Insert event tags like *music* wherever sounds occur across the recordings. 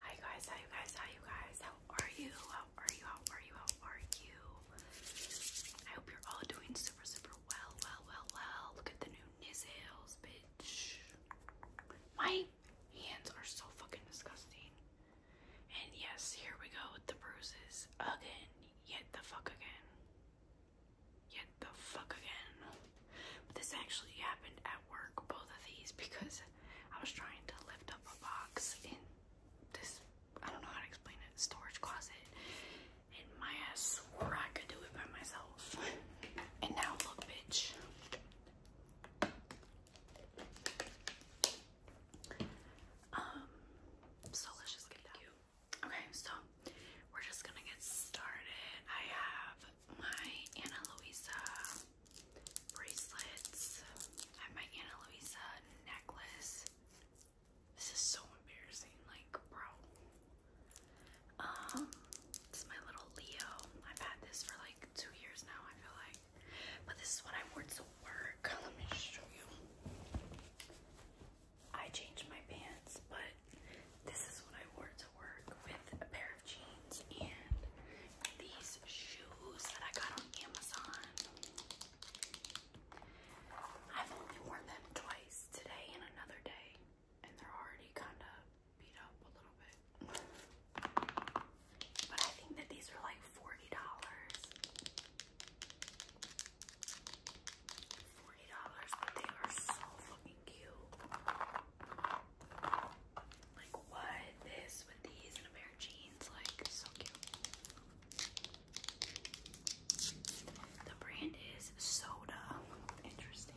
Hi guys, hi you guys, hi you guys. How are you? How are you? How are you? How are you? I hope you're all doing super, super well, well, well, well. Look at the new nails, bitch. My hands are so fucking disgusting. And yes, here we go with the bruises again. Yet the fuck again. Yet the fuck again. this actually happened at work, both of these, because I was trying to lift up a box in this, I don't know how to explain it, storage closet. And my ass swore I could do it by myself. And now look, bitch. Um, so let's just get that. Okay, so we're just gonna get started. I have my Anna Luisa bracelets. I have my Anna Luisa necklace. This is so embarrassing, like, bro. Um, this my little Leo. I've had this for like two years now, I feel like. But this is what I wore to work. *laughs* Let me show you. I changed my pants, but this is what I wore to work with a pair jeans and these shoes that I got on Amazon. I've only worn them twice, today and another day, and they're already kind of beat up a little bit. But I think that these are like $40. $40, but they are so fucking cute. Like what? This with these and a pair of jeans, like so cute. The brand is Soda. Interesting.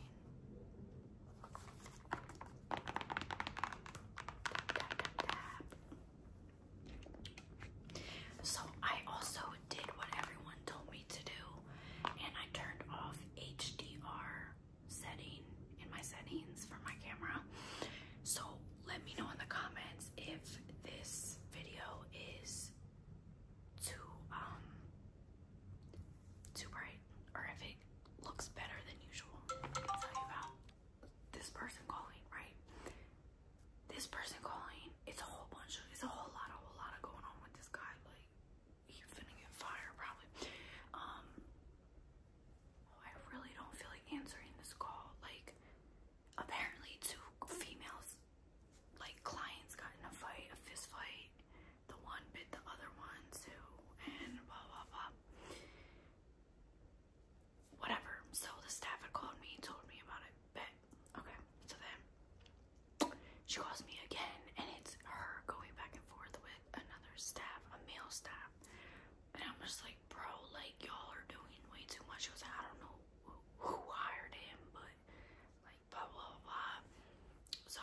So I also did what everyone told me to do, and I turned off HDR setting in my settings for my camera. So let me know in the comments if this video is too um too bright or if it looks better than usual. tell you about this person calling, right? This person calling, it's a whole bunch of it's a whole lot, a whole lot of going on with this guy. Like he's finna get fired probably. Um Oh, I really don't feel like answering this call. Like, apparently two females, like clients, got in a fight, a fist fight. The one bit the other one too, and blah blah blah. Whatever. So the staff had called me, told me about it. But Okay. So then she calls me again, and it's her going back and forth with another staff, a male staff. And I'm just like, bro, like y'all are doing way too much. I don't know who hired him, but like blah, blah, blah. So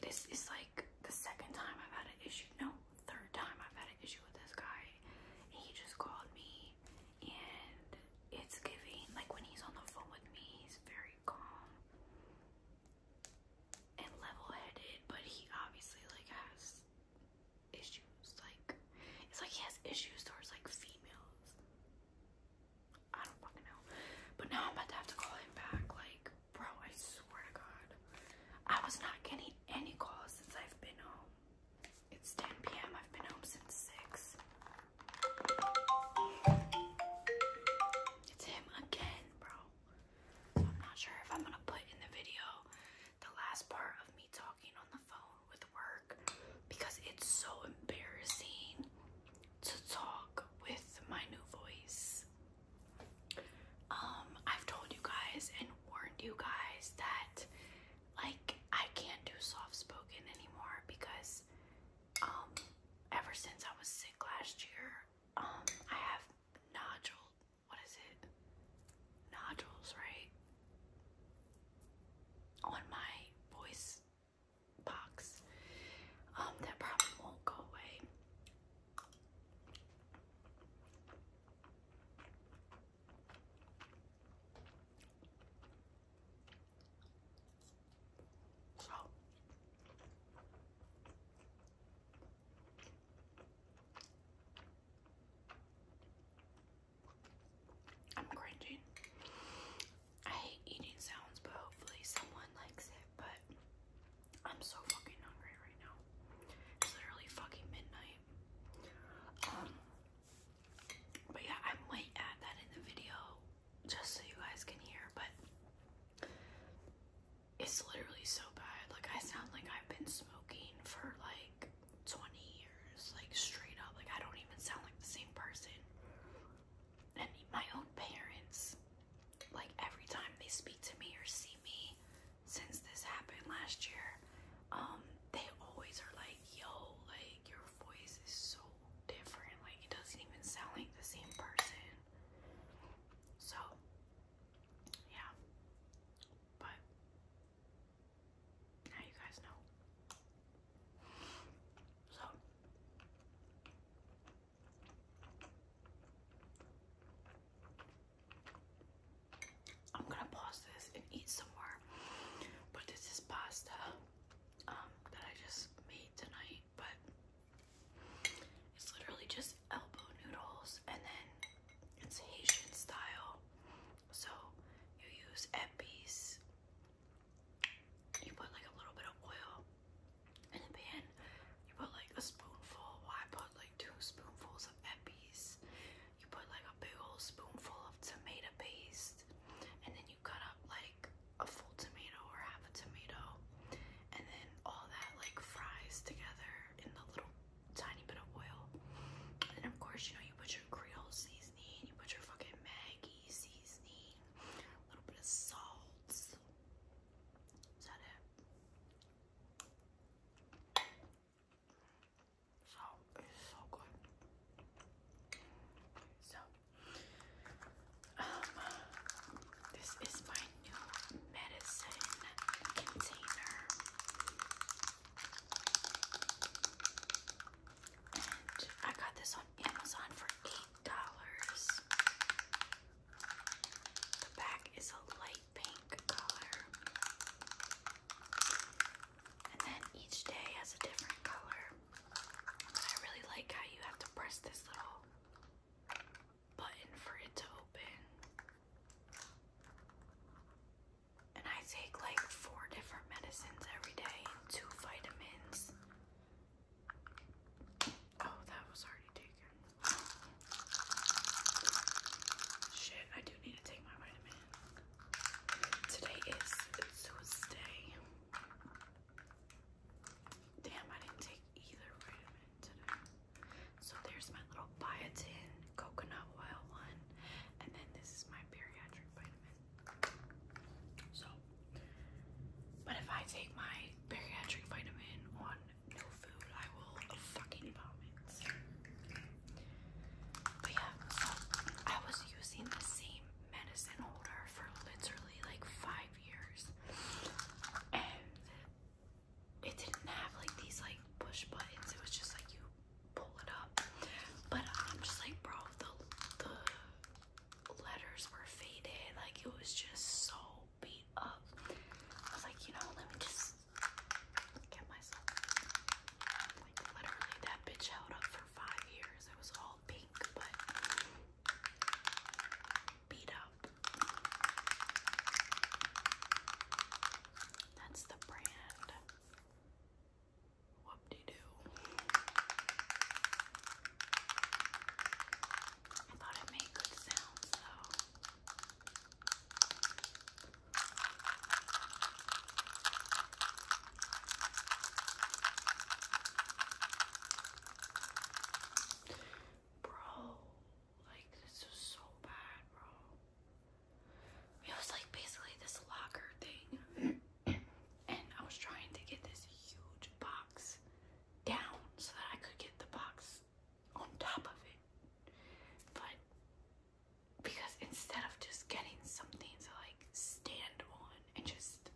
this is like the second time I've had an issue. No, third time I've had an issue with this guy. He just called me and it's giving, like when he's on the phone with me, he's very calm and level-headed, but he obviously like has issues. Like it's like he has issues towards like females. I don't fucking know. But now I'm about to have to call him back. Like, bro, I swear to God, I was not getting any calls since I've been home. It's 10 p.m. I've been home since six. It's him again, bro. I'm not sure if I'm gonna put in the video the last part of me talking on the phone with work because it's so embarrassing to talk with my new voice. Um, I've told you guys and warned you guys that like I can't do soft spoken anymore because um ever since I was sick last year, um I have nodules what is it? Nodules, right? On my voice box. Um, that probably won't go away. So I'm cringing. I hate eating sounds, but hopefully someone likes it. But I'm so fucking hungry right now. It's literally fucking midnight. Um, but yeah, I might add that in the video just so you guys can hear. But it's literally so bad. Like I sound like I've been smoking for like 20 years, like straight up. Like I don't even sound like the same person. And my own parents, like every time they speak to me or see me since this happened last year, um, they always are like, yo, like your voice is so different. Like it doesn't even sound like the same person. So yeah, but now you guys know. So, I'm gonna pause this and eat some more. But this is pasta um, that I just made tonight, but it's literally just elbow noodles and then it's Haitian style. So you use epies, you put like a little bit of oil in the pan, you put like a spoonful, I put like two spoonfuls of epies, you put like a big old spoonful of tomato paste, and then you cut up like a full tomato or half a tomato, and then all that like fries together in the little tiny bit of oil. And of course, you know, you put your Creole seasoning, you put your fucking Maggie seasoning, a little bit of salt. Is that it? So so good. So um, this is my new medicine container. I got this on Amazon for $8. The back is a light pink color. And then each day has a different color. I really like how you have to press this little button for it to open. And I take like four different medicines every day two vitamins. Oh, that was already taken. Shit, I do need to take my vitamin. Today is Tuesday. Damn, I didn't take either vitamin today. So there's my little biotin coconut oil one, and then this is my bariatric vitamin. So, but if I take my bariatric vitamin on no food, I will fucking vomit. But yeah, I was using the same medicine holder for literally like five years, and it didn't have like these like push buttons. It was just like you pull it up. But I'm just like, bro, the the letters were faded. Like it was just so beat up. I was like, you know, let me just get myself. Like literally, that bitch held up for five years. It was all pink, but beat up. That's the brand. Whoop de doo. I thought it made good sounds though. Bro, like, this is so bad, bro. It was like basically this locker thing. *coughs* and I was trying to get this huge box down so that I could get the box on top of it. But because instead of just getting something to like stand on and just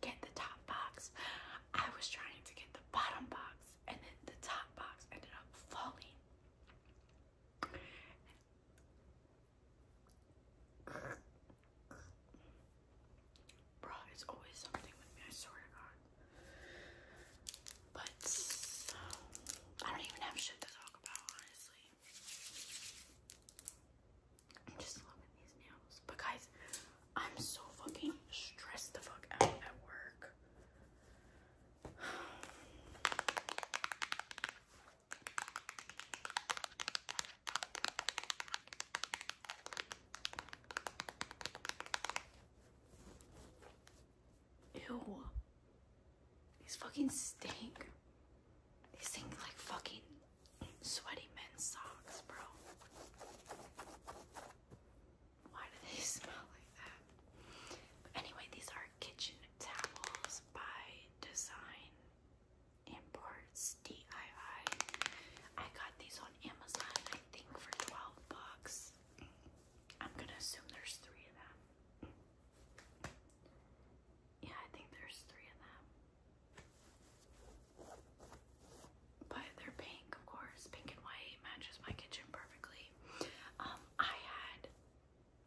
get the top box, I was trying to get the bottom box and then the top box ended up falling. Bro, it's always something with me, I swear to God. But um, I don't even have shit to talk about, honestly. I'm just loving these nails. But guys, I'm so fucking stressed the fuck out at work. Ew. These fucking stink. These stink like fucking sweaty men's socks, bro. Why do they *laughs* smell like that? But anyway, these are kitchen towels by Design Imports DIY. got these on Amazon, I think, for 12 bucks. I'm gonna assume there's three of them. Yeah, I think there's three of them but they're pink, of course. Pink and white matches my kitchen perfectly. Um, I had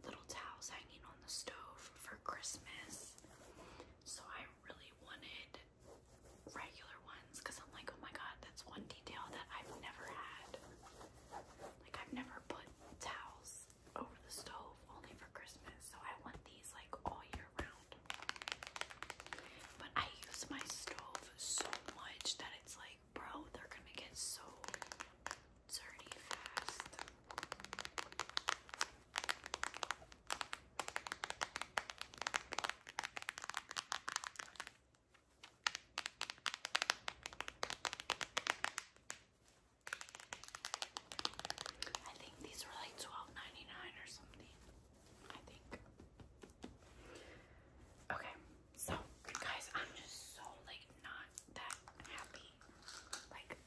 little towels hanging on the stove for Christmas, so I really wanted regular ones because I'm like, oh my god, that's one detail that I've never had. Like, I've never put towels over the stove only for Christmas, so I want these like all year round. But I use my stove so much that it's like, bro, they're gonna get so dirty fast. I think these were like twelve ninety nine or something. I think. Okay, so, guys, I'm just so like not that happy. Like,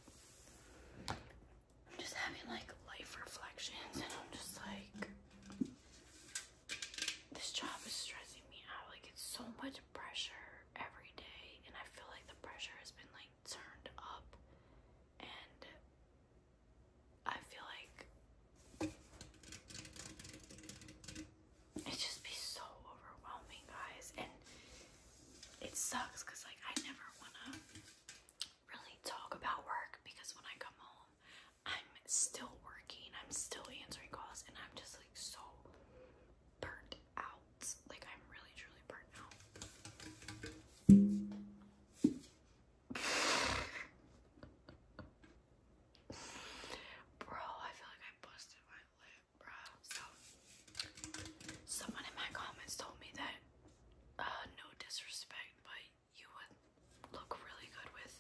I'm just having like life reflections, and I'm just like, this job is stressing me out. Like, it's so much pressure every day, and I feel like the pressure has been like turned up, and I feel like it just be so overwhelming, guys, and it sucks because like I never wanna really talk about work because when I come home, I'm still working, I'm still answering calls, and I'm just like so burnt out. Like I'm really truly burnt out. *laughs* Bro, I feel like I busted my lip, bro. So, someone in my comments told me that, uh, no disrespect, but you would look really good with,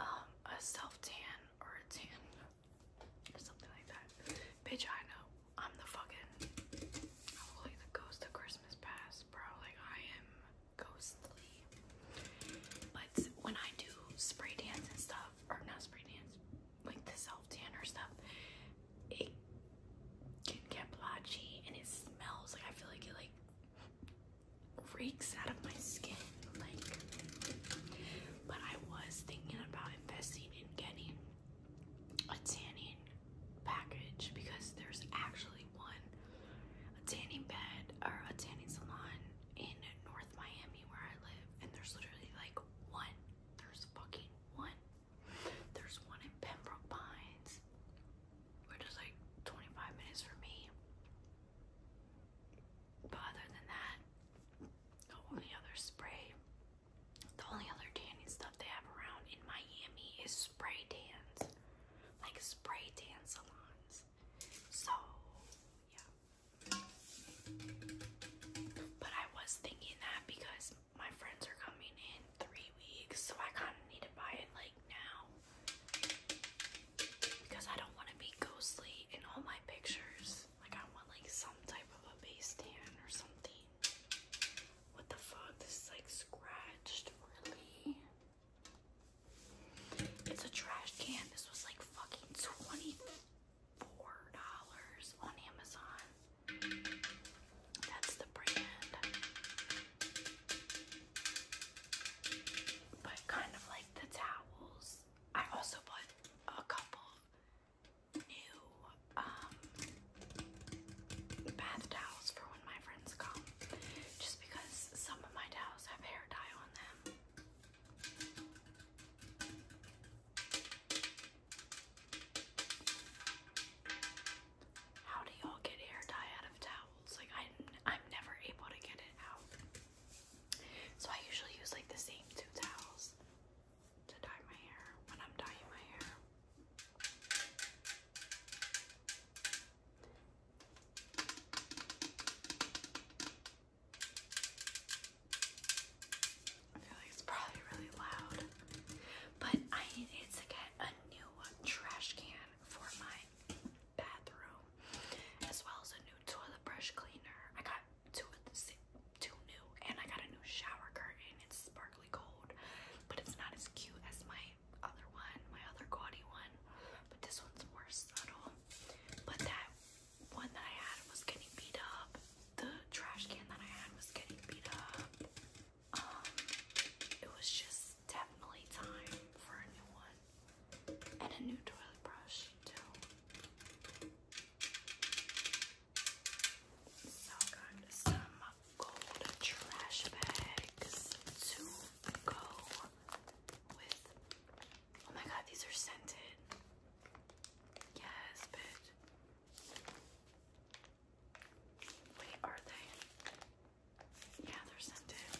um, a self tan or a tan something like that. Bitch, I know. I'm the fucking, like the ghost of Christmas past, bro. Like, I am ghostly. But when I do spray dance and stuff, or not spray dance, like the self tanner stuff, it can get blotchy and it smells. Like I feel like it like reeks out of my skin. Like, but I was thinking about investing in getting a tanning package because there's actually one a tanning bed or a tanning salon in North Miami where I live, and there's literally like one. There's fucking one. There's one in Pembroke Pines, which is like 25 minutes for me. But other than that, the only other spray, the only other tanning stuff they have around in Miami is spray tans, like spray tan salons. So, yeah. But I was thinking that because my friends are coming in three weeks, so I kind of need to buy it like now. Because I don't want to be ghostly in all my pictures. Like, I want like some type of a base tan or something. What the fuck? This is like scratched, really? It's a trash can. This was like fucking $24 on Amazon. That's the brand. But kind of like the towels. I also bought a couple new um, bath towels for when my friends come just because some of my towels have hair dye on them. How do y'all get hair dye out of towels? Like i I'm never able to get it out. So I usually use like the same two towels to dye my hair when I'm dyeing my hair. I feel like it's probably really loud, but I needed to get a new trash can for my bathroom, as well as a new toilet brush cleaner. I got two of the same, two new, and I got a new shower curtain. It's sparkly gold, but it's not as cute as my other one, my other gaudy one. But this one's more subtle. But that one that I had was getting beat up. The trash can that I had was getting beat up. Um, it was just definitely time for a new one. And a new toilet brush, too. So I got some gold trash bags to go Oh my god, these are scented. Yes, bitch. Wait, are they? Yeah, they're scented.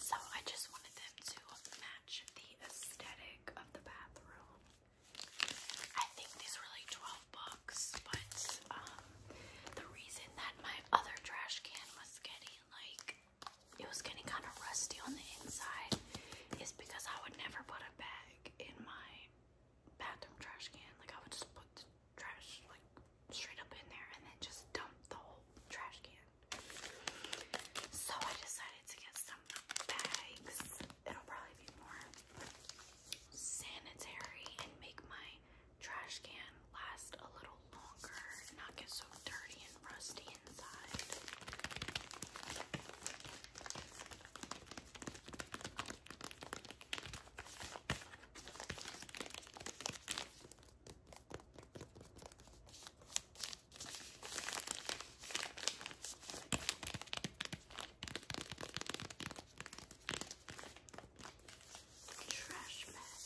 So I just wanted them to match the aesthetic of the bathroom. I think these were like 12 bucks, but um, the reason that my other trash can was getting like it was getting kind of rusty on the inside is because I would never put a bag in my bathroom trash can. Like I would just put the trash like straight up in there and then just dump the whole trash can. So I decided to get some bags. It'll probably be more sanitary and make my trash can last a little longer and not get so dirty and rusty inside. Trash bag.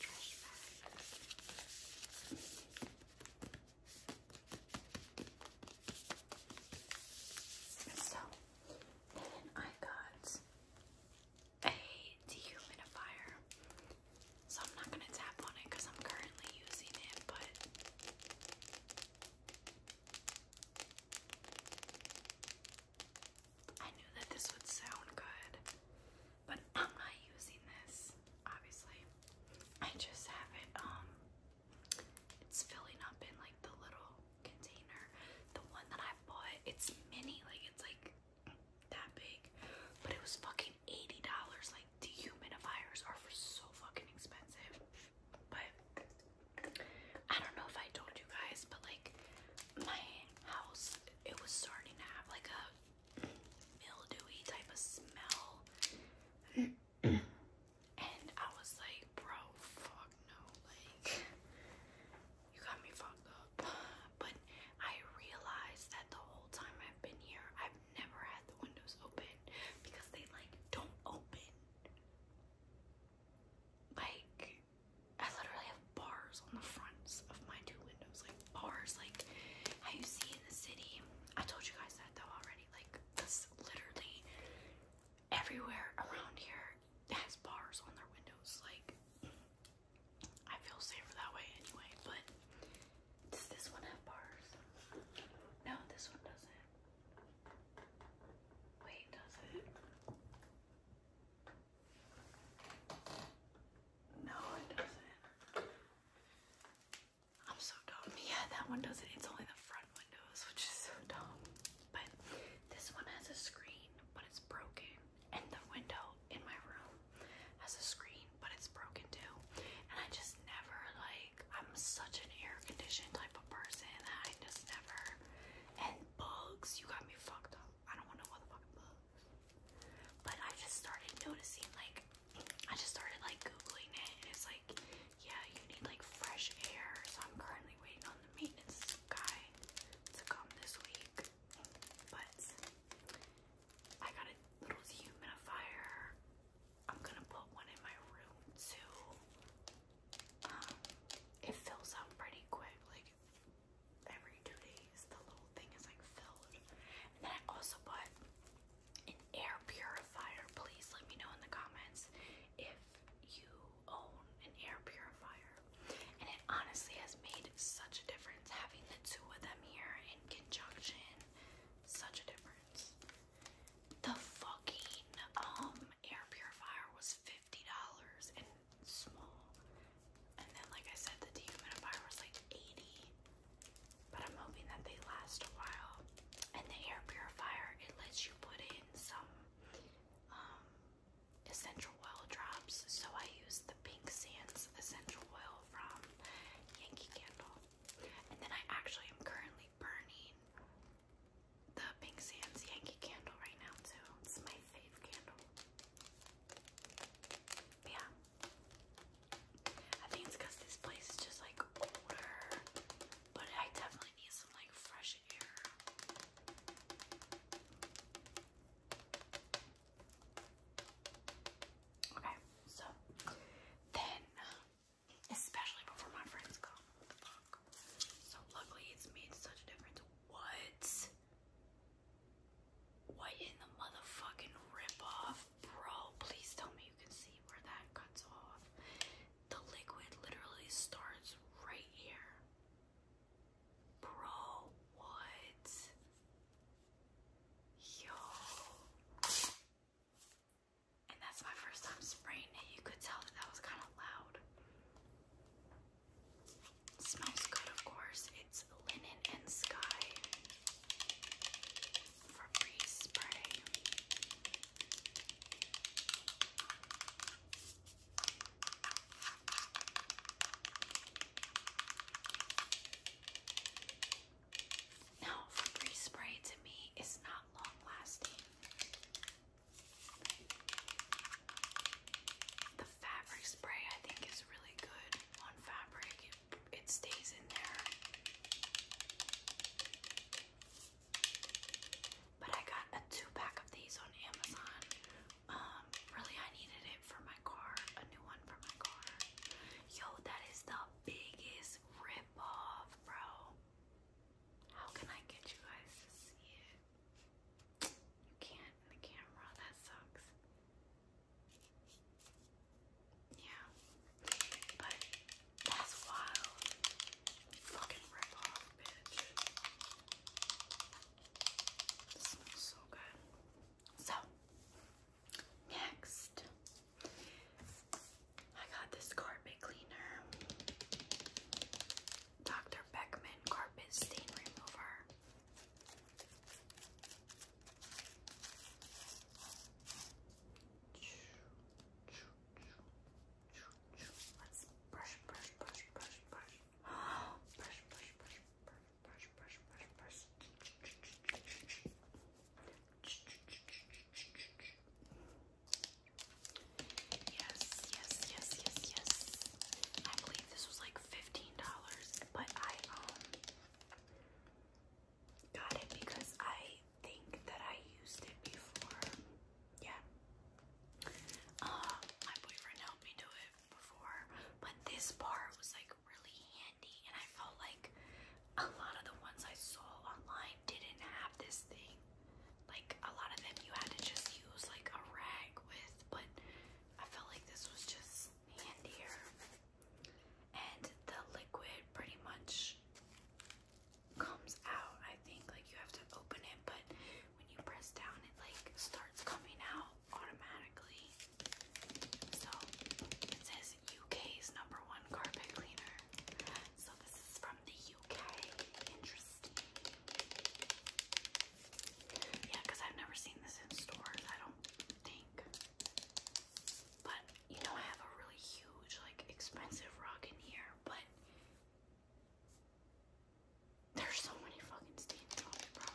trash bag. So I got a dehumidifier. So I'm not gonna tap on it because I'm currently using it, but I knew that this would sound good, but I'm not using this, obviously. I just have it, um, it's filling up in like the little container. The one that I bought, it's mini, like it's like that big, but it was fucking $80. Like dehumidifiers are so fucking expensive. But I don't know if I told you guys, but like my house, it was starting to have like a mildewy type of smell. and I was like, bro, fuck no. Like, you got me fucked up. But I realized that the whole time I've been here, I've never had the windows open because they like don't open. Like, I literally have bars on the fronts of my two windows, like bars, like how you see in the city. I told you guys that though already. Like this, literally everywhere around here has bars on their windows. Like I feel safer that way anyway. But does this one have bars? No, this one doesn't. Wait, does it? No, it doesn't. I'm so dumb. Yeah, that one doesn't. It's only the front windows, which is so dumb. But this one has a screen, but it's broken. And the window in my room has a screen, but it's broken too. And I just never, like, I'm such an air conditioned type of person that I just never bugs. You got me fucked up. I don't want no motherfucking bugs. But I just started noticing, like, I just started like googling it, and it's like, yeah, you need like fresh air. So I'm currently waiting on the maintenance guy to come this week. But I got a little humidifier. I'm gonna put one in my room too it fills up pretty quick, like every two days the little thing is like filled. And I also bought an air purifier. Please let me know in the comments if you own an air purifier. And it honestly has made such a difference having the two of them here in conjunction. Such a difference. The fucking um air purifier was $50 and small. And then, like I said, the dehumidifier was like 80, but I'm hoping that they last a while. And the air purifier, it lets you put in some um, essential oil drops. So I use the Pink Sands essential oil from Yankee Candle. And then I actually am currently burning the Pink Sands Yankee candle right now too. It's my fave candle. yeah. I think it's because this place is just like older. But I definitely need some like fresh air. Okay, so then especially before my friends come shock. So luckily it's made such a difference. What? What in the motherfucking ripoff? Bro, please tell me you can see where that cuts off. The liquid literally starts right here. Bro, what? Yo. And that's my first time spraying it. You could tell that that was kind of loud. It smells good, of course. It's Linen and Sky Febreze spray. Now, Febreze spray to me is not long lasting. The fabric spray I think is really good on fabric. It, stays in there. But I got a two pack of these on Amazon. Um, really I needed it for my car, a new one for my car. Yo, that is the biggest rip bro. How can I get you guys to see it? You can't in the camera, that sucks. Yeah. But that's wild. Fucking rip bitch. This smells so good. So next I got this carpet cleaner. Dr. Beckman Carpet Stain Remover. Let's brush, brush, brush, brush, brush. Brush, brush, brush, brush, brush, brush, brush, brush. Yes, yes, yes, yes, yes. I believe this was like fifteen dollars, but I um got it because I think that I used it before. Yeah. Uh, my boyfriend helped me do it before, but this part was like really handy, and I felt like a lot of the ones I saw online didn't have this thing. Like a lot of them you had to just use like a rag with, but I felt like this was just handier. And the liquid pretty much comes out, I think. Like you have to open it, but when you press down it like starts coming out automatically. So it says UK's number one carpet cleaner. So this is for the UK. Interesting. Yeah, I've never seen this in stores, I don't think. But, you know, I have a really huge, like, expensive rug in here, but there's so many fucking stains bro.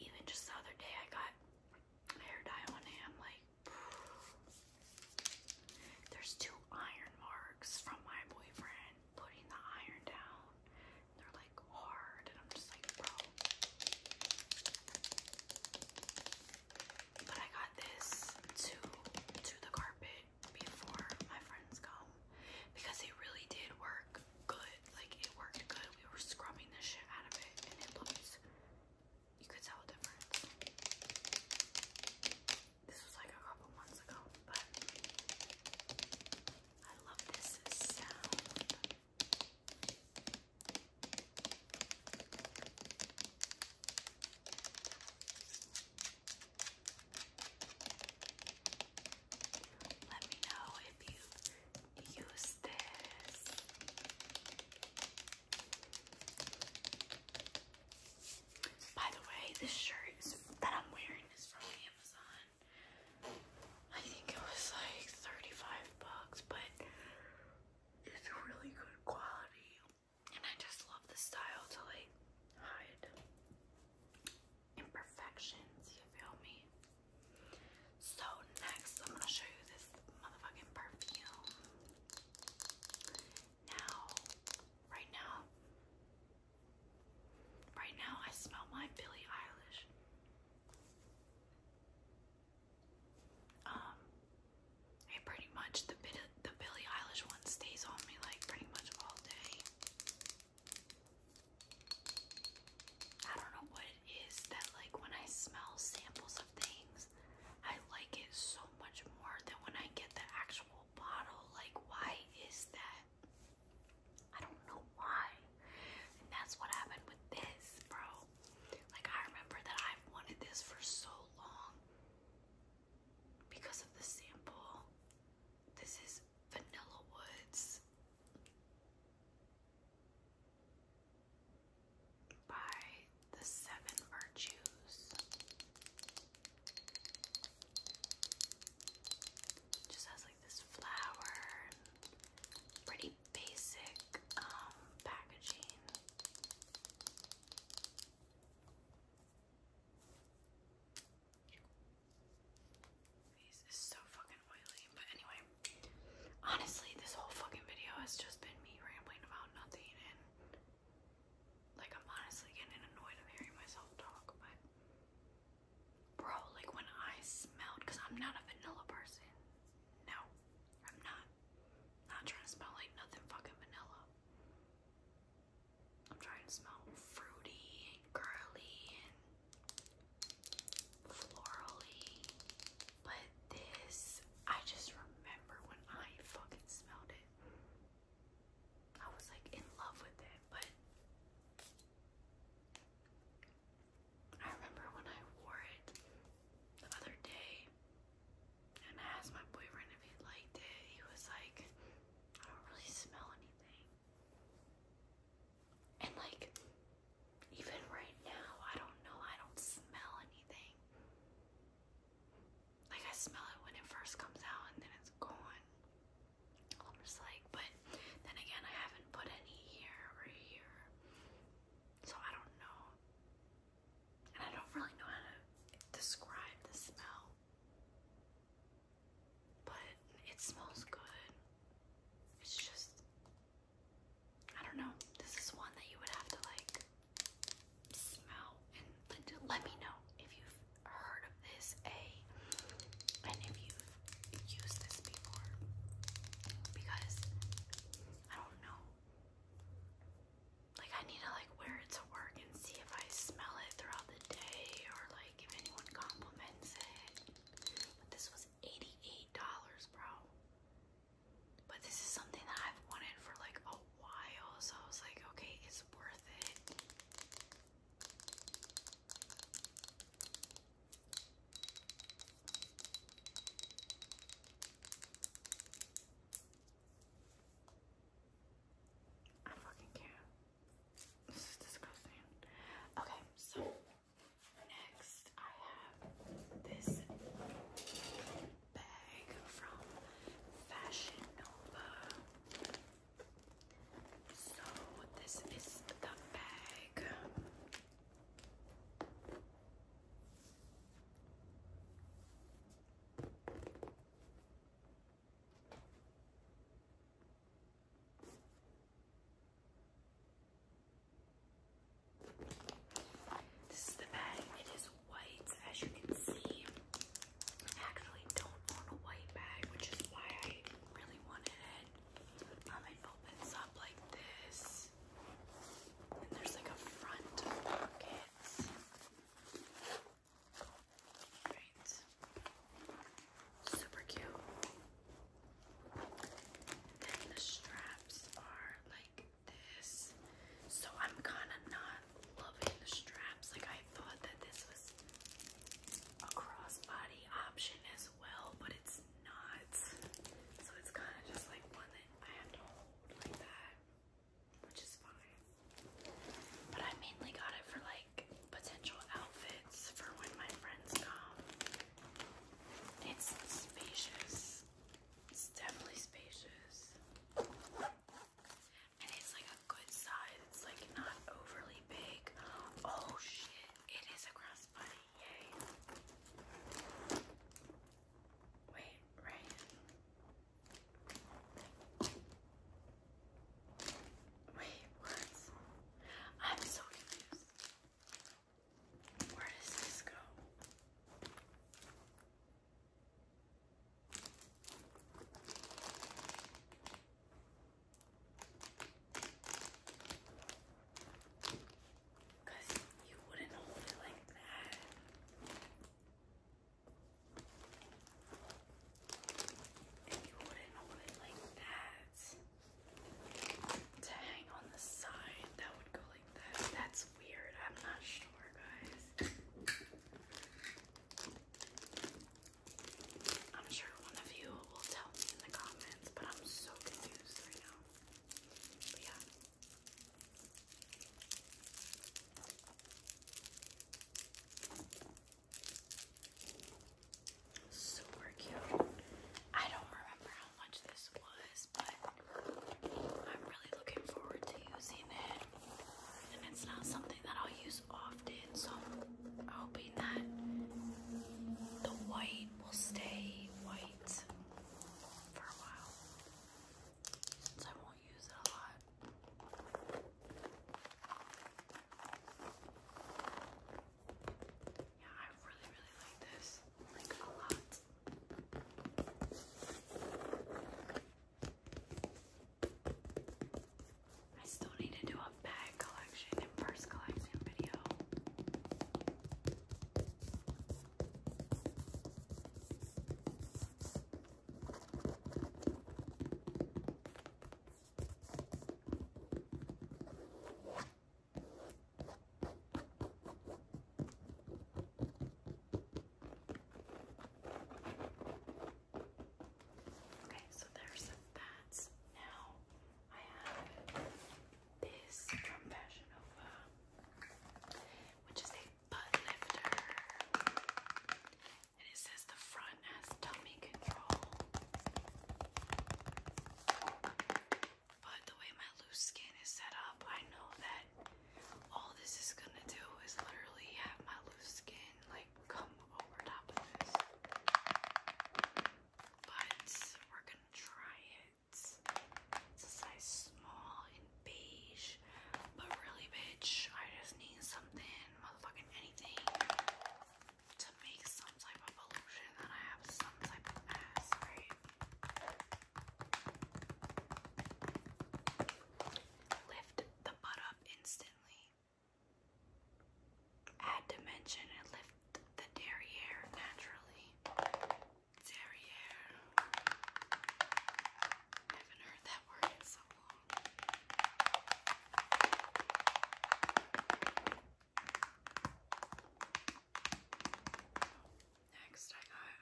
Even just the other day, I got hair dye on it, like, *sighs* there's two iron marks from my boyfriend putting the iron down. They're like hard, and I'm just like, bro. But I got this to to the carpet before my friends come because it really did work good. Like it worked good. We were scrubbing the shit out of it, and it looked. You could tell the difference. This was like a couple months ago, but I love this sound. Let me know if you use this. By the way, this shirt that I'm wearing is from Amazon. I think it was like 35 bucks, but it's really good quality. And I just love the style to like hide imperfections, you feel me? So next I'm gonna show you this motherfucking perfume. Now, right now, Right now, I smell my Billie Eilish. Um, it pretty much the Billie Eilish one stays on me like pretty much all day. I don't know what it is that like when I smell samples of things, I like it so much more than when I get the actual bottle. Like, why is that? I don't know why. And that's what happened with this, bro. Like, I remember that I've wanted this for so long because of the sample. This is Vanilla Woods by the Seven Virtues just has like this flower pretty basic um, packaging. Face is so fucking oily, but anyway, honestly, this whole fucking video has just been me rambling about nothing, and like I'm honestly getting annoyed of hearing myself talk, but Bro, like when I smelled, because I'm not a vanilla person. No, I'm not. Not trying to smell like nothing fucking vanilla. I'm trying to smell fruity and girly and florally. But this, I just remember when I fucking smelled it. I was like in love with it, but I remember when I wore it the other day and asked my boyfriend if he liked it, he was like, I don't really smell anything. And like even right now, I don't know, I don't smell anything. Like I smell it when it first comes out and then it's gone. I'm just like, but then again, I haven't put any here or here, so I don't know. And I don't really know how to describe the smell, but it smells good. It's just, I don't know. This is one that you would have to like smell and let me know if you've heard of this A and if you've used this before because I don't know like I need to like wear it to work and see if I smell it throughout the day or like if anyone compliments it but this was $88 bro but this is something that I've wanted for like a while so I was like okay it's worth it I fucking can't. This is disgusting. Okay, so next I have this bag from Fashion Nova. So this is the bag. This is the bag. It is white, as you can see actually don't own a white bag, which is why I really wanted it. Um, it opens up like this, and there's like a front pocket. Right. Super cute. Then the straps are like this. So I'm kind of not loving the straps. Like I thought that this was a crossbody option as well, but it's not. So it's kind of just like one that I have to hold like that, which is fine. But I mainly got it for like potential outfits for when my friends come. It's spacious. It's definitely spacious and it's like a good size. It's like not overly big. Oh shit, it is a cross body. Yay. Wait, right? Wait, what? I'm so confused. Where does this go? Because you wouldn't hold it like that. And you wouldn't hold it like that. To hang on the side, that would go like that. That's weird. I'm not sure, guys. I'm sure one of you will tell me in the comments, but I'm so confused right now. yeah. Super cute. I don't remember how much this was, but I'm really looking forward to using it. And it's not something that I'll use often, so I'm hoping that the white will stay white for a while. So I won't use it a lot. Yeah, I really, really like this. Like a lot. I still need to do a bag collection and purse collection video. Okay, so there's some bats. Now I have this from Fashion which is a butt lifter. And it says the front has tummy control. But the way my loose skin is set up, I know that all this is gonna do is literally have my loose skin like come over top of this. But we're gonna try it. It's a size small and beige. But really, bitch, I just need something, motherfucking anything, to make some type of illusion that I have some type of ass, right? Lift the butt up instantly. Add dimension and lift the derriere naturally. Derriere. I haven't heard that word in so long. Next, I got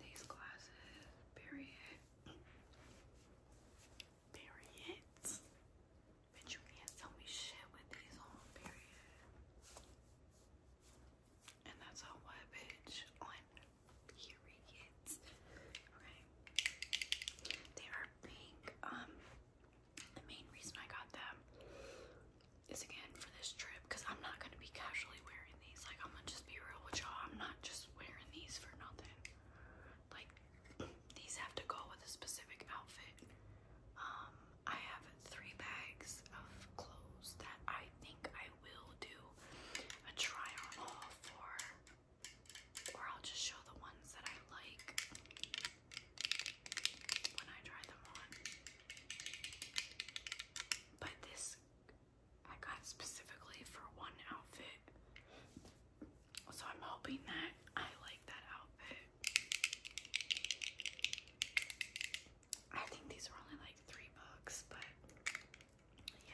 these glasses, period period. Bitch, you can't tell me shit with these on, period. And that's how what, bitch, on periods. Okay. They are pink. Um, the main reason I got them is again for this trip because I'm not gonna be casually wearing these. Like I'm gonna just be real with y'all. I'm not just wearing these for nothing. Like, these have to go with a specific outfit. Um, I have three bags of clothes that I think I will do a try on all for, or I'll just show the ones that I like when I try them on. But this I got specifically for one outfit. So I'm hoping that I like that outfit. I think these were only like three bucks, but yeah.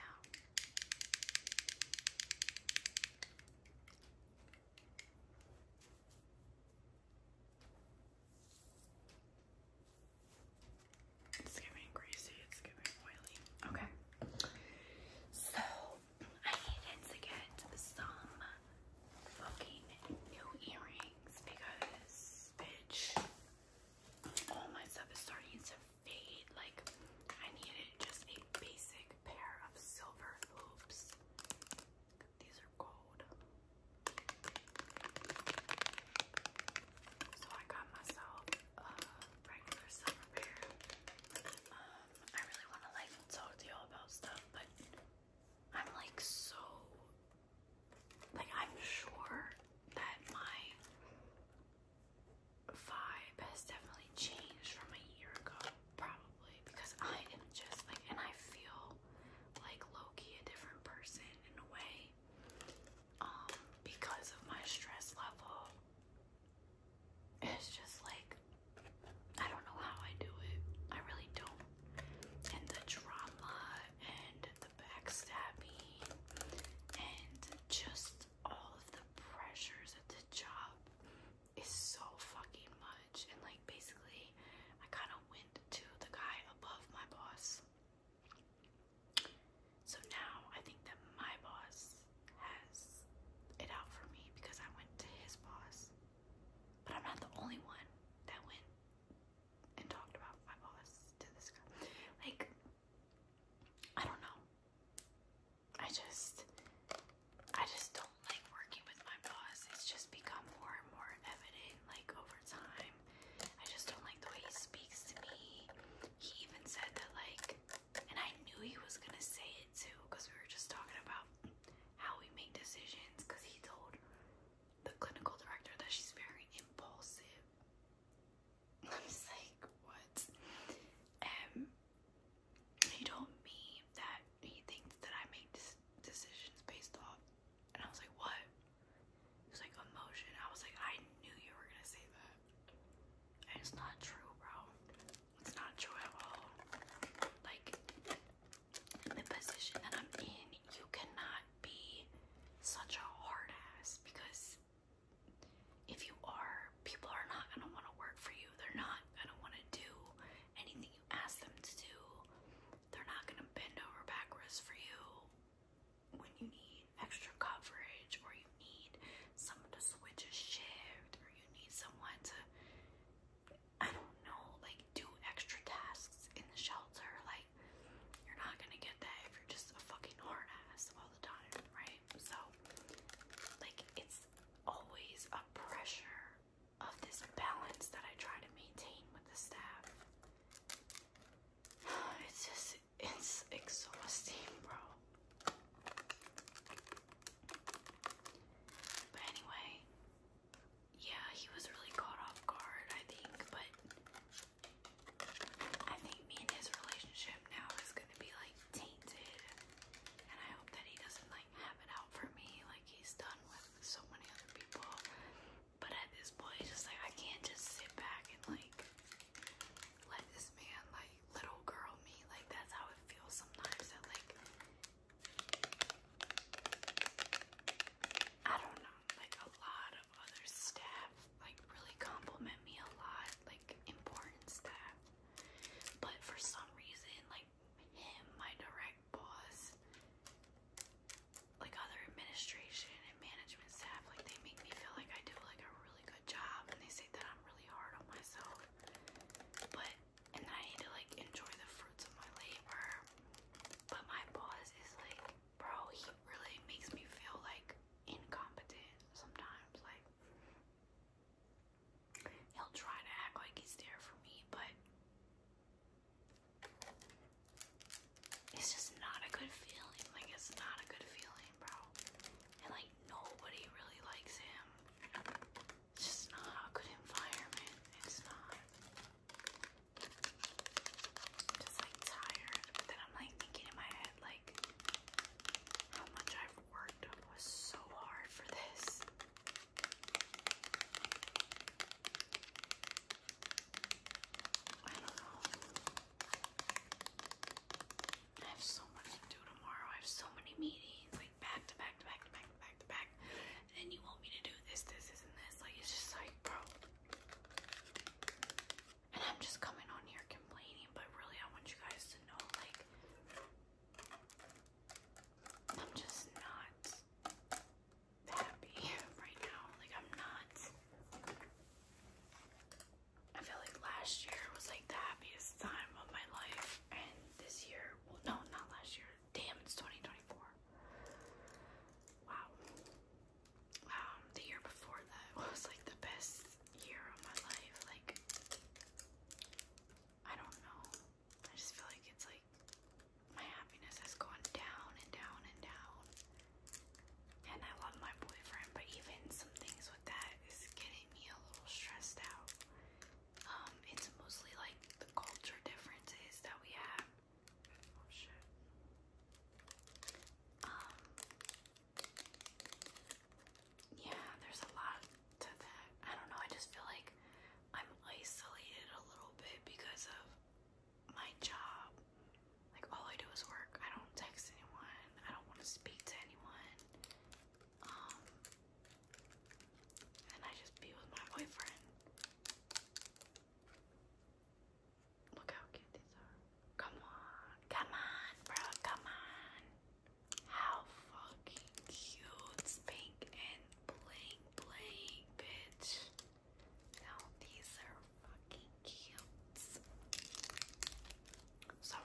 It's giving greasy, it's giving oily. Okay. So I needed to get some fucking new earrings because, all my stuff is starting to fade. Like, I needed just a basic pair of silver hoops. These are gold. So I got myself regular summer I really want to like talk to y'all about stuff, but I'm like so like I'm sure that my vibe has definitely changed from a year ago, probably because I am just like, and I feel like Loki a different person in a way, um, because of my stress level it's just like I don't know how I do it. I really don't. And the drama and the backstabbing and just all of the pressures at the job is so fucking much. And like basically I kind of went to the guy above my boss. So now I think that my boss has it out for me because I went to his boss. But I'm not the only one that went and talked about my boss to this guy. Like, I don't know. I just, I just don't like working with my boss. It's just become more and more evident, like, over time. I just don't like the way he speaks to me. He even said that, like, and I knew he was going to say it too because we were just talking about how we make decisions because he told the clinical director that she's very impulsive. I was *laughs* like, what? Um, he told me that he thinks that I make decisions based off, and I was like, what? He was like, emotion. I was like, I knew you were gonna say that it's not true, bro. It's not true at all. Like, the position that I'm in, you cannot be such a hard ass because if you are, people are not gonna want to work for you. They're not gonna want to do anything you ask them to do. They're not gonna bend over backwards for you when you need extra coverage or you need someone to switch a shift or you need someone to I don't know, like do extra tasks in the shelter. Like you're not gonna get that if you're just a fucking hard ass all the time, right? So like it's always a pressure of this balance that I try to maintain with the staff. *sighs* It's just it's exhausting, bro. But anyway, yeah, he was really caught off guard, I think, but I think me and his relationship now is gonna be like tainted. And I hope that he doesn't like have it out for me like he's done with so many other people. But at this point, he's just like I can't just sit back and like let this man like little girl me. Like that's how it feels sometimes that like I don't know, like a lot of other staff like really compliment me a lot, like important staff. But for some reason, like him, my direct boss, like other administration and management staff, like they make me feel like I do like a really really good job and they say that I'm really hard on myself. But and I need to like enjoy the fruits of my labor. But my boss is like, bro, he really makes me feel like incompetent sometimes. Like he'll try to act like he's there for me, but it's just not a good feeling. Like it's not a good feeling, bro. And like nobody really likes him. It's just not a good environment. It's not. just like tired. But then I'm like thinking in my head like how much I've worked was so hard for this. I don't know. I have so much to do tomorrow. I have so many meetings, like back to back to back to back to back to back. And then you want me to do this, this, this, and this. Like, it's just like, bro. And I'm just coming on here complaining, but really, I want you guys to know, like, I'm just not happy *laughs* right now. Like, I'm not. I feel like last year was like the happiest time of my life, and this year, well, no, not last year. Damn, it's 2024. Wow. Um, the year before that *laughs* was like the best year of my life. Like, I don't know. I just feel like it's like my happiness has gone down and down and down. And I love my boyfriend, but even some things with that, that is getting me a little stressed out. Um, it's mostly like the culture differences that we have. Oh, um, yeah, there's a lot to that. I don't know, I just feel like I'm isolated a little bit because of my job. Like all I do is work. I don't text anyone. I don't want to speak to anyone. Um, and I just be with my boyfriend. Look how cute these are. Come on, come on, bro, come on. How fucking cute. It's pink and bling bling, bitch. Now these are fucking cute. So,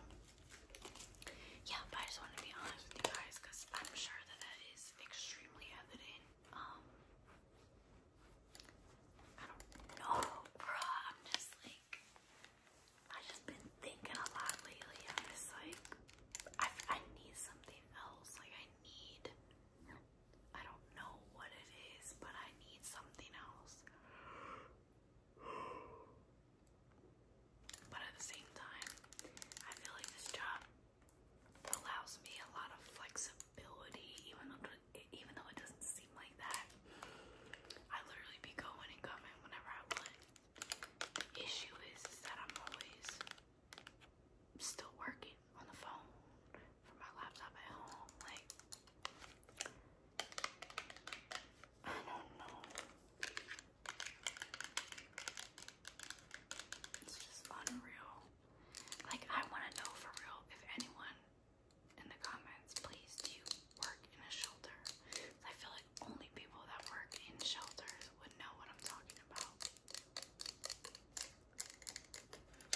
yeah, but I just wanted to be honest with you guys because I'm sure that that is extremely evident. Um, I don't know, bruh. I'm just like, I've just been thinking a lot lately. I'm just like, I, I need something else. Like, I need, I don't know what it is, but I need something else. But at the same time, I feel like this job allows me a lot of flexibility, even though even though it doesn't seem like that. I literally be going and coming whenever I want. issue is, is that I'm always still working on the phone from my laptop at home. Like I don't know. It's just unreal. Like, I want to know for real if anyone in the comments, please, do work in a shelter? I feel like only people that work in shelters would know what I'm talking about.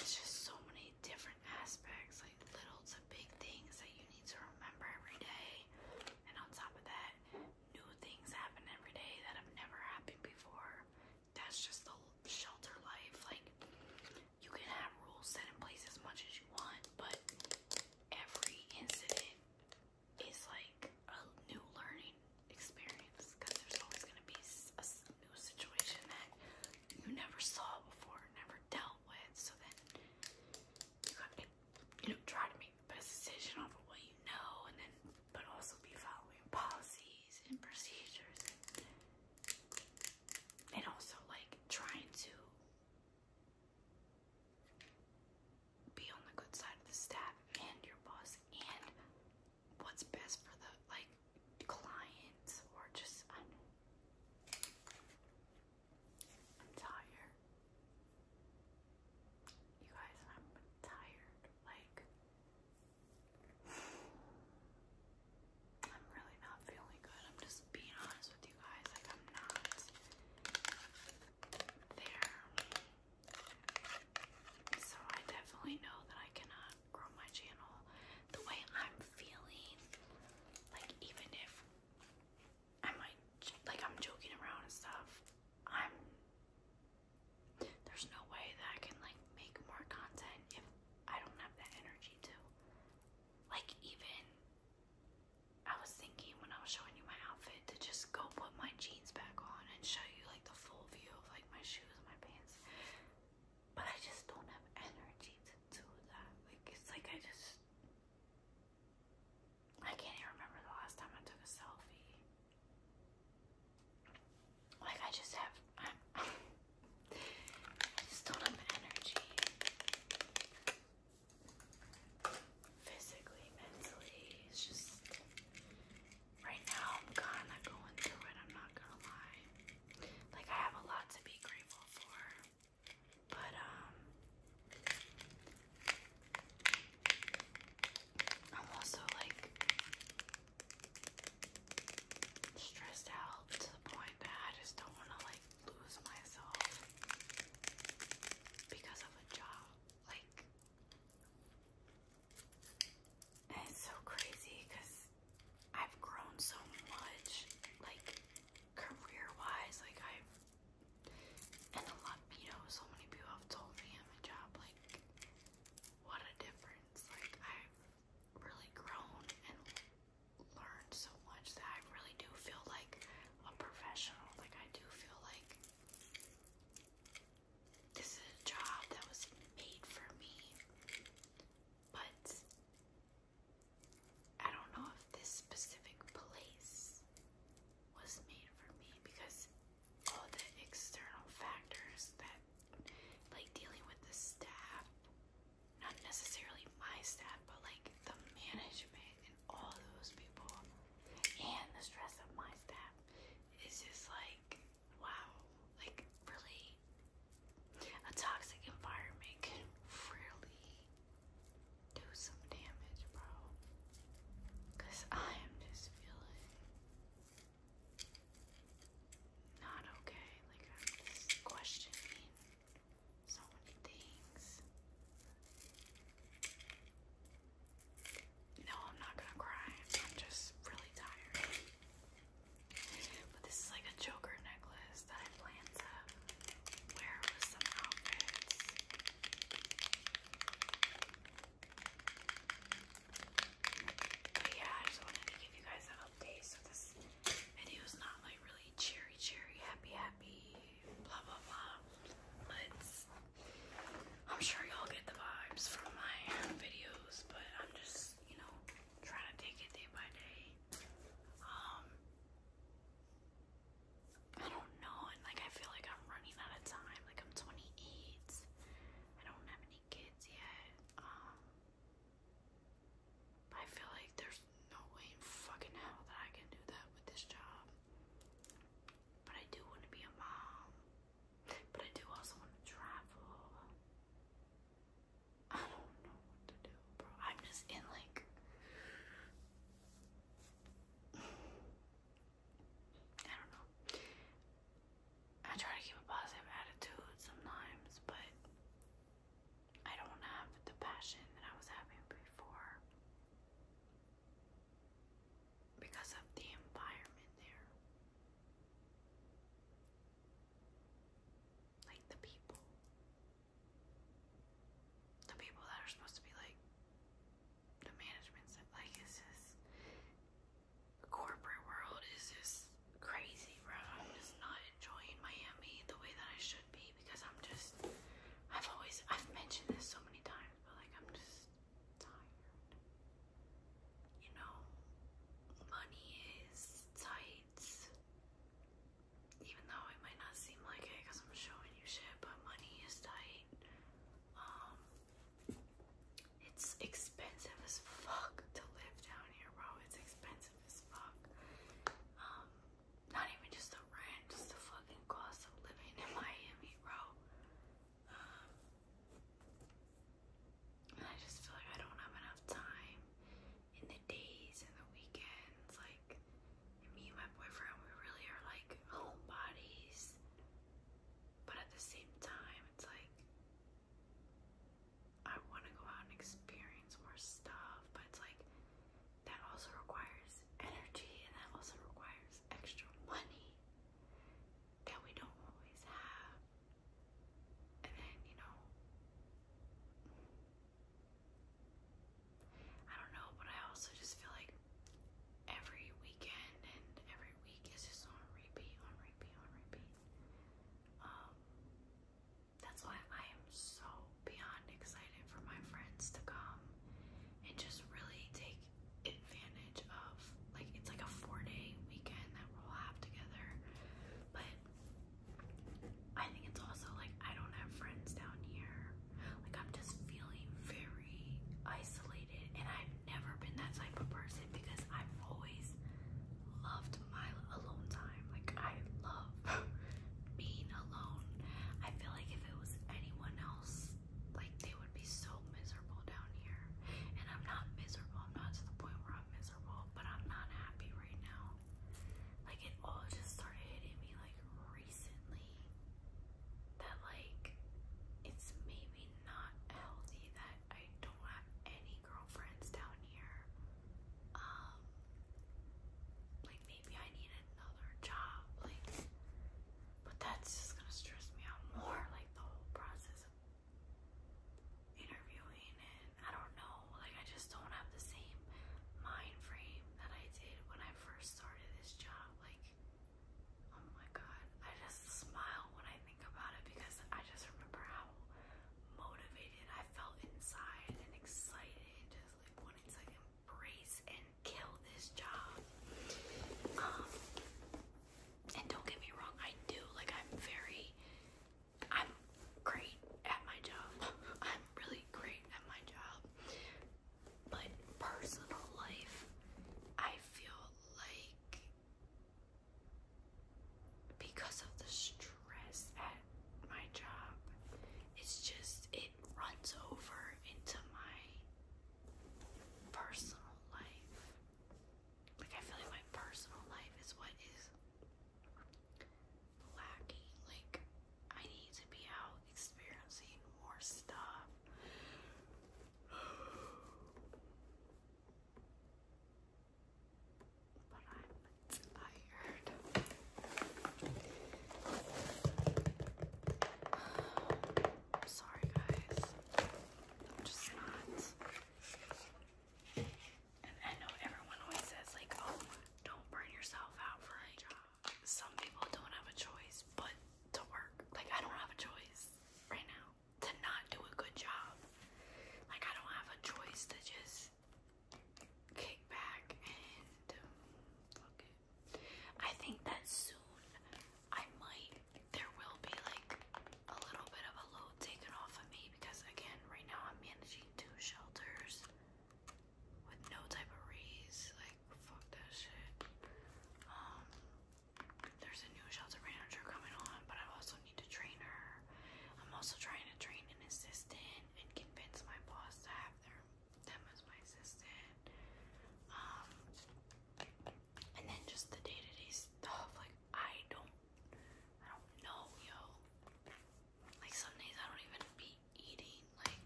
It's just so many different aspects like little to big things that you need to remember every day. And on top of that, new things happen every day that have never happened before. That's just the shelter life. Like, you can have rules set in place as much as you want, but every incident is like a new learning experience because there's always going to be a new situation that you never saw before, never dealt with. So then you got to you know, try to make the best decision off of what you know, and then, but also be following policies and procedures, and, also like trying to be on the good side of the staff and your boss, and what's best for the like clients or just. I'm tired. You guys, I'm tired. Like, I'm really not feeling good. I'm just being honest with you guys. Like, I'm not there. So, I definitely know that I cannot grow my channel the way I'm feeling. Like, even if I'm like, I'm joking around and stuff. I'm. There's no way that I can like make more content if I don't have that energy to. Like even, I was thinking when I was showing you my outfit to just go put my jeans back on and show you like the full view of like my shoes, and my pants. But I just don't have energy to do that. Like it's like I just. I can't even remember the last time I took a selfie. Like I just have, *laughs* I just don't have energy. Physically, mentally, it's just, right now I'm kinda going through it, I'm not gonna lie. Like I have a lot to be grateful for. But um I'm also like stressed out to the point that I just don't want to like lose myself because of a job. Like it's so crazy because I've grown so much like career wise like I've and the Latino, so many people have told me at my job, like, what a difference. Like, I've really grown and learned so much that I really do feel like a professional. Like, I do feel like this is a job that was made for me. But I don't know if this specific place was made for me because all the external factors that, like dealing with the staff, not necessarily my staff, but like the management and all those people, and the stress of my staff, is just like, wow, like really a toxic environment really do some damage, bro. Cause I am just feeling not okay. Like I'm just questioning so many things. No, I'm not gonna cry. I'm just really tired. But this is like a Joker necklace that I planned to wear with some outfits. But yeah, I just wanted to give you guys an update. So this video is not like really cheery, cheery, happy, happy, blah, blah, blah. But I'm sure y'all get the vibes from my videos. But I'm just, you know, trying to take it day by day. Um, I don't know, and like I feel like I'm running out of time. Like I'm 28. I don't have any kids yet. Um, I feel like there's no way in fucking hell that I can do that with this job. But I do want to be a mom. But I do also want to travel. I don't know what to do, bro. I'm just in like I don't know. I try to keep a positive attitude sometimes, but I don't have the passion that I was having before because of the environment there. Like the people the people that are supposed to be like the management stuff. Like, is this corporate world? Is this crazy, bro? I'm just not enjoying Miami the way that I should be because I'm just. I've always I've mentioned this so many times, but like I'm just tired. You know, money is tight even though it might not seem like it because I'm showing you shit, but money is tight. Um, it's expensive as fuck to live down here, bro. It's expensive as fuck. Um, not even just the rent, just the fucking cost of living in Miami, bro. Um, and I just feel like I don't have enough time in the days and the weekends, like me and my boyfriend, we really are like homebodies, but at the same time, it's like I want to go out and experience more stuff, but it's like that also requires energy and that also requires extra money that we don't always have. And then, you know, I don't know, but I also just feel like every weekend and every week is just on repeat, on repeat, on repeat. Um, that's why I am so beyond excited for my friends to come and just really take advantage of like it's like a four day weekend that we'll have together. But I think it's also like I don't have friends down here. Like I'm just feeling very isolated and I've never been that type of person because I've always loved my alone time. Like I love *laughs* being alone. I feel like if it was anyone else, like they would be so miserable down here. And I'm not miserable. I'm not to the point where I'm miserable, but I'm not happy right now. Like it all just started hitting me like recently that like it's maybe not healthy that I don't have any girlfriends down here. Um like maybe I need another job, like but that's just gonna stress me out more, like the whole process of interviewing and I don't know, like I just don't have the same mind frame that I did when I first started this job. Like, oh my god, I just smile when I think about it because I just remember how motivated I felt inside and excited and just like wanting to embrace and kill this job. Um, and don't get me wrong, I do like I'm very I'm great at my job. *laughs* I'm really great at my job. But personal life, I feel like because of the stress at my job, it's just, it runs over into my personal life. Like, I feel like my personal life is what is lacking. Like, I need to be out experiencing more stuff. *sighs* But I'm tired. I'm *sighs* sorry, guys. I'm just not. And I know everyone always says, like, oh, don't burn yourself out for a job some people don't have a choice but to work. Like, I don't have a choice right now to not do a good job. Like, I don't have a choice to just kick back and fuck it. I think that soon I might, there will be like a little bit of a load taken off of me because, again, right now I'm managing two shelters with no type of reads. Like, fuck that shit. Um, there's a new shelter manager coming on, but I also need to train her. I'm also trying to train an assistant and convince my boss to have them as my assistant. Um, and then just the day to -day stuff. Like, I don't, I don't know, yo. Like some days I don't even be eating. Like,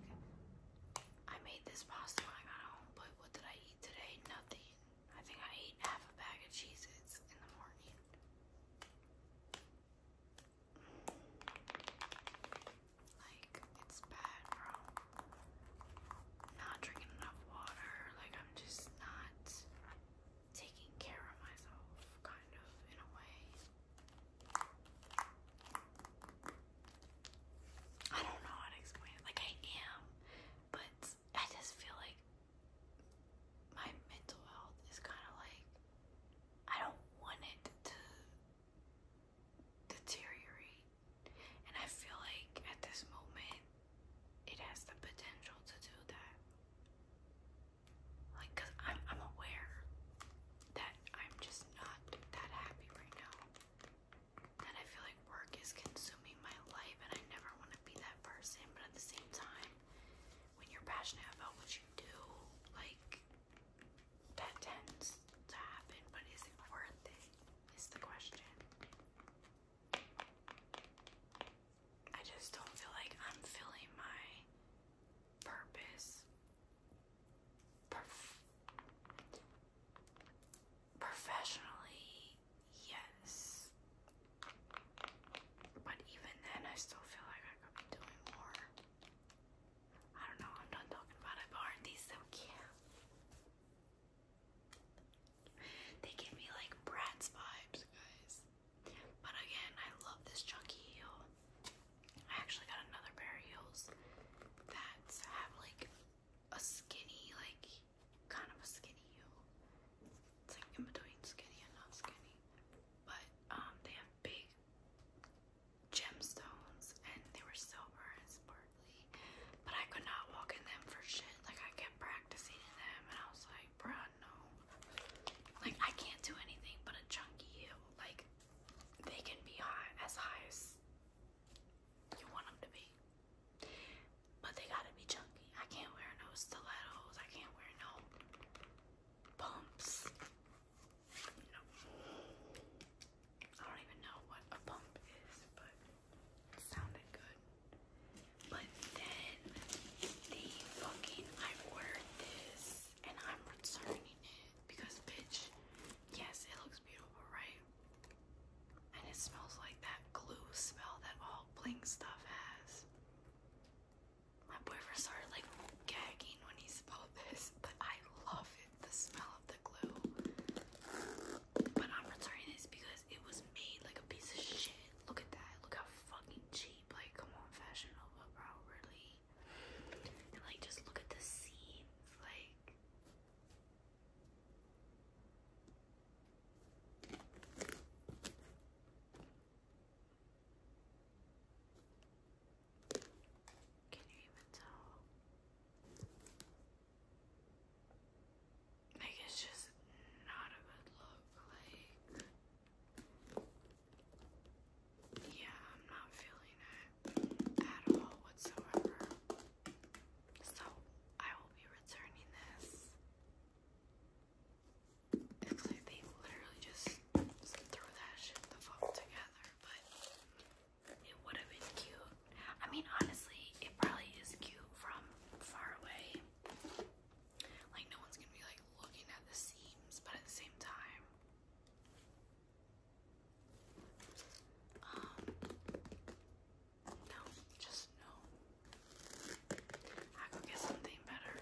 I made this pasta when I got home, but what did I eat today? Nothing. I think I ate half a bag of cheeses in the morning. Like, it's bad, bro. Not drinking enough water. Like, I'm just not taking care of myself, kind of, in a way. I don't know how to explain Like I am, but I just feel like my mental health is kind of like I don't want it to deteriorate. And I feel like at this moment it has the potential to do that. Like cuz I'm I'm aware that I'm just not that happy right now. That I feel like work is consuming my life and I never want to be that person, but at the same time, when you're passionate about what you do, like that tends to happen, but is it worth it? Is the question. I just don't feel like I'm filling my purpose professionally, yes. But even then, I still feel like I could be doing more. I don't know, I'm done talking about it, but these so cute? They give me like Bratz vibes, guys. But again, I love this chunky heel. I actually got another pair of heels that have like a skinny, like kind of a skinny heel. It's like in between skinny and not skinny. But um, they have big gemstones and they were silver and sparkly. But I could not walk in them for shit. Like I kept practicing in them and I was like, bruh, no. Like I can't do anything but a chunky heel. Like they can be high, as high as you want them to be. But they gotta be chunky. I can't wear no stilettos. I can't wear no pumps. No. I don't even know what a pump is, but sounded good. But then the fucking I ordered this and I'm returning it because bitch Yes, it looks beautiful, right? And it smells like that glue smell that all bling stuff has. My boyfriend started like gagging when he smelled *laughs* this, but I love it, the smell of the glue. But I'm returning this because it was made like a piece of shit. Look at that. Look how fucking cheap. Like, come on, Fashion Nova, bro. Really? like just look at the seams, like can you even tell? Like it's just not a good look, like yeah, I'm not feeling it at all whatsoever. So, I will be returning this. It's like they literally just threw that shit the fuck together, but it would have been cute. I mean, honestly, it probably is cute from far away. Like, no one's gonna be like looking at the seams, but at the same time, um, no, just no. I could get something better.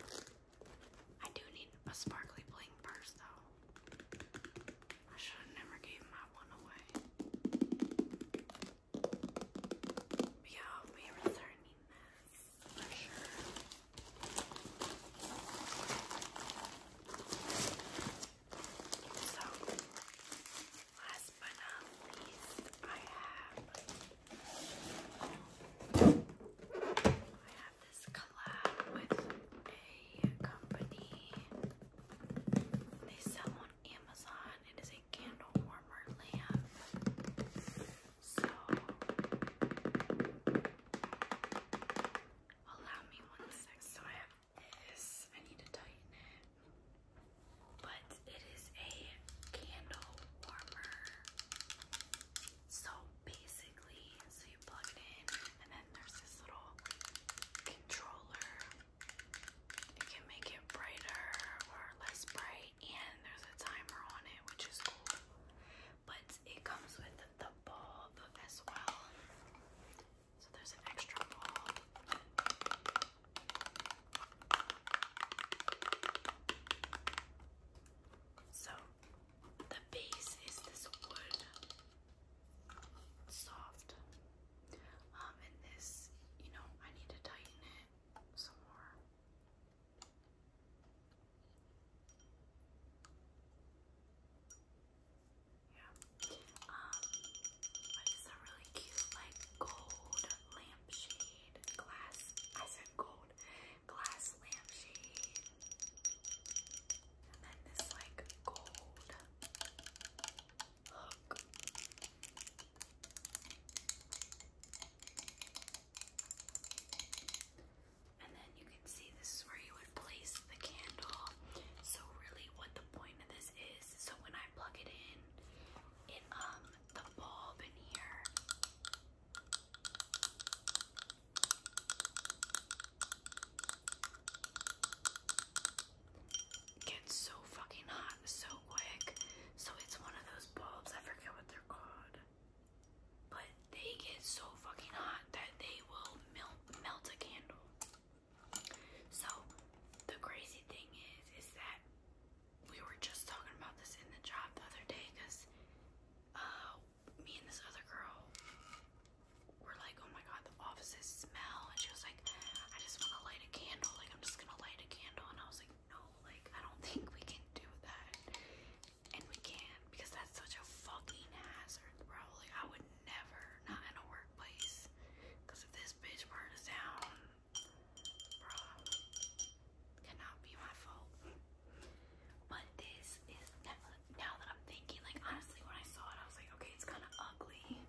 I do need a sparkly bling purse though. I should have never gave my one away. yeah, i returning this for sure. So, last but not least, I have I have this collab with a company. They sell on Amazon. It is a candle warmer lamp. So allow me one is, I need to tighten it, but it is a candle warmer. So basically, so you plug it in, and then there's this little controller. You can make it brighter or less bright, and there's a timer on it, which is cool. But it comes with the ball as well. So there's an extra ball. So the base is this wood, soft, um, and this, you know, I need to tighten it some more. Yeah. Um, it's a really cute, like gold lampshade glass. I said gold glass lampshade. And then this like gold hook. And then you see this is where you would place the candle. So really what the point of this is, so when I plug it in, it um the bulb in here gets so fucking hot so quick. So it's one of those bulbs, I forget what they're called. But they get so fucking hot that they will melt melt a candle. So the crazy thing is, is that we were just talking about this in the job the other day because uh, me and this other girl were like, oh my god, the offices smell. And she was like, I just want to light a candle. Like, I'm just going to light a candle. And I was like, no, like, I don't *laughs* think we can do that. And we can't because that's such a fucking hazard, bro. Like, I would never, not in a workplace. Cause if this bitch burns down, bruh, cannot be my fault. But this is now that I'm thinking, like honestly when I saw it, I was like, okay, it's kinda ugly.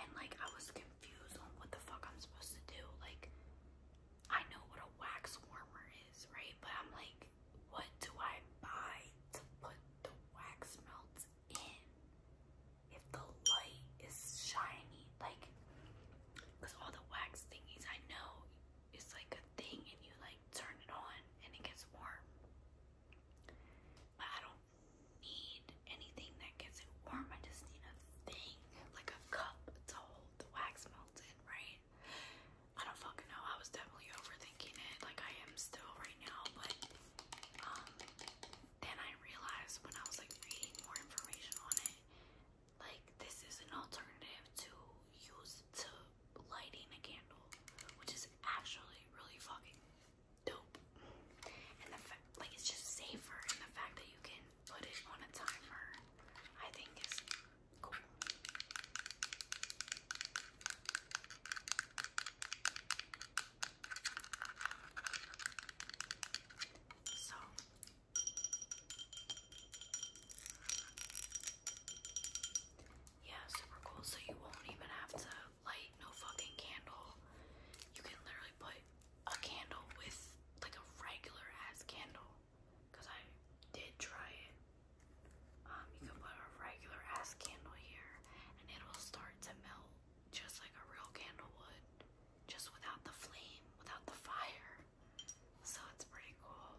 And like I was confused on what the fuck I'm supposed to do. Like I know what a wax warmer is, right? But I'm like, what do I buy to put the wax melts if the light is shiny, like, all the wax thingies I know is like a thing and you like turn it on and it gets warm. But I don't need anything that gets it warm. I just need a thing, like a cup to hold the wax melt right? I don't fucking know. I was definitely overthinking it, like I am still right now, but um, then I realized when I was like reading more information on it, like this is an alternative to use to lighting a candle, which is actually really fucking dope. And the fact, like, it's just safer, and the fact that you can put it on a timer, I think is cool. So yeah, super cool. So you won't even have to light no fucking candle. You can literally put a candle with like a regular ass candle. Cause I did try it um, you can put a regular ass candle here and it'll start to melt just like a real candle would, just without the flame, without the fire. So it's pretty cool.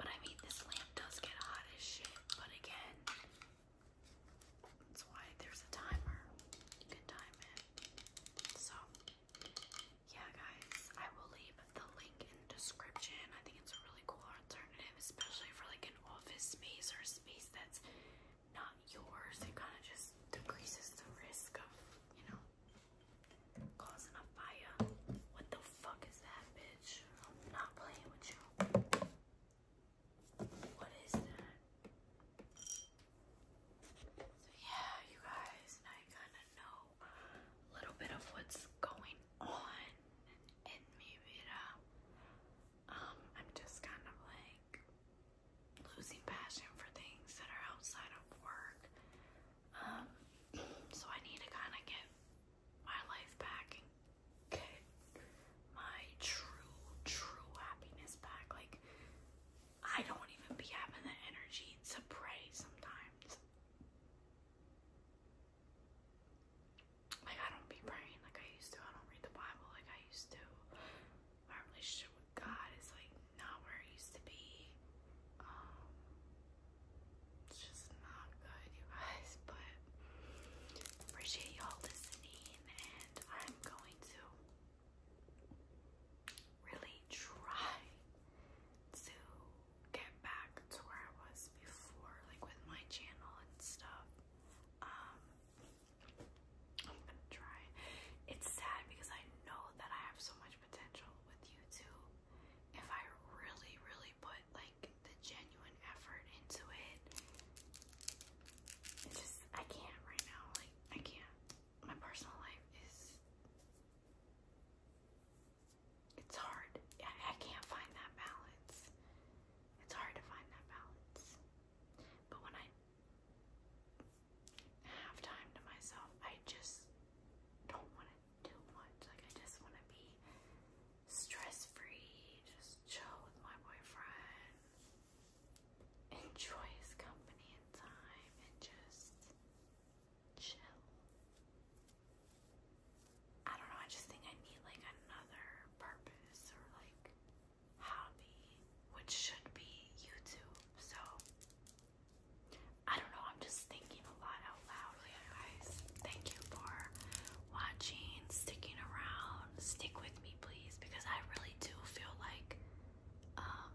But I mean, this lamp does get hot as shit, but again, that's why there's a timer. You can time it. So, yeah, guys, I will leave the link in description. I think it's a really cool alternative, especially for like office space or space that's not yours. It kind of just decreases the risk of, you know, causing a fire. What the fuck is that, bitch? I'm not playing with you. What is that? So yeah, you guys, I kind of know a little bit of what's going on. And maybe uh, um, I'm just kind of like losing passion for things that are outside of work. Um, so I need to kind of get my life back and get my true, true happiness back. Like, I don't even be having the energy to pray sometimes. Like, I don't be praying like I used to. I don't read the Bible like I used to. My relationship with God is, like, not where it used to be. Um, it's just not good, you guys. *laughs* But appreciate y'all listening, and I'm going to really try to get back to where I was before, like with my channel and stuff. Um, I'm gonna try. It's sad because I know that I have so much potential with YouTube if I really, really put like the genuine effort into it. It's just I can't right now. Like I can't. My personal life is. It's hard. I, I can't find that balance. It's hard to find that balance. But when I have time to myself, I just don't want to do much. Like, I just want to be stress free, just chill with my boyfriend, enjoy his company and time, and just chill. I don't know, I just think I need like another purpose or like hobby, which should be YouTube. So I don't know, I'm just thinking a lot out loud. guys, thank you for watching, sticking around. Stick with me, please, because I really do feel like um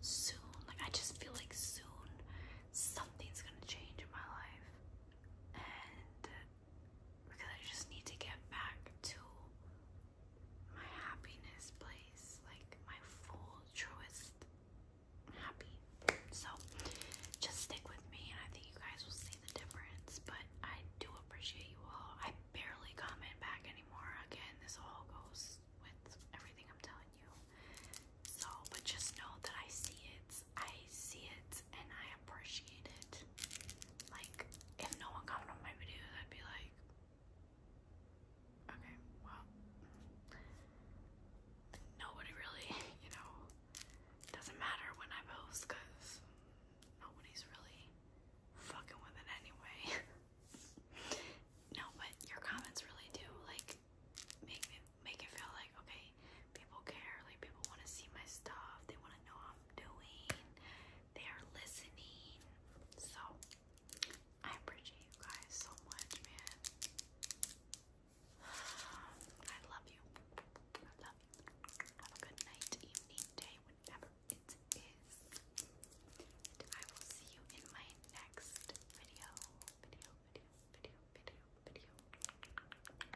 soon, like I just feel like soon something's gonna change in my life. And because I just need to get back to my happiness place, like my full, truest happy. So just stick with me, and I think you guys will see the difference. But I do appreciate you all. I barely comment back anymore. Again, this all goes with everything I'm telling you. So, but just know that I see it. I see it and I appreciate it. Like, if no one commented on my videos, I'd be like, okay, well, nobody really, *laughs* you know, doesn't matter when I post because nobody's really fucking with it anyway. *laughs* no, but your comments really do, like, make make it feel like okay People care. Like people want to see my stuff. They want to know how I'm doing. They are listening. So I appreciate you guys so much, man. *sighs* I love you. I love you. Have a good night, evening, day, whatever it is. I will see you in my next video. Video, video, video, video, video.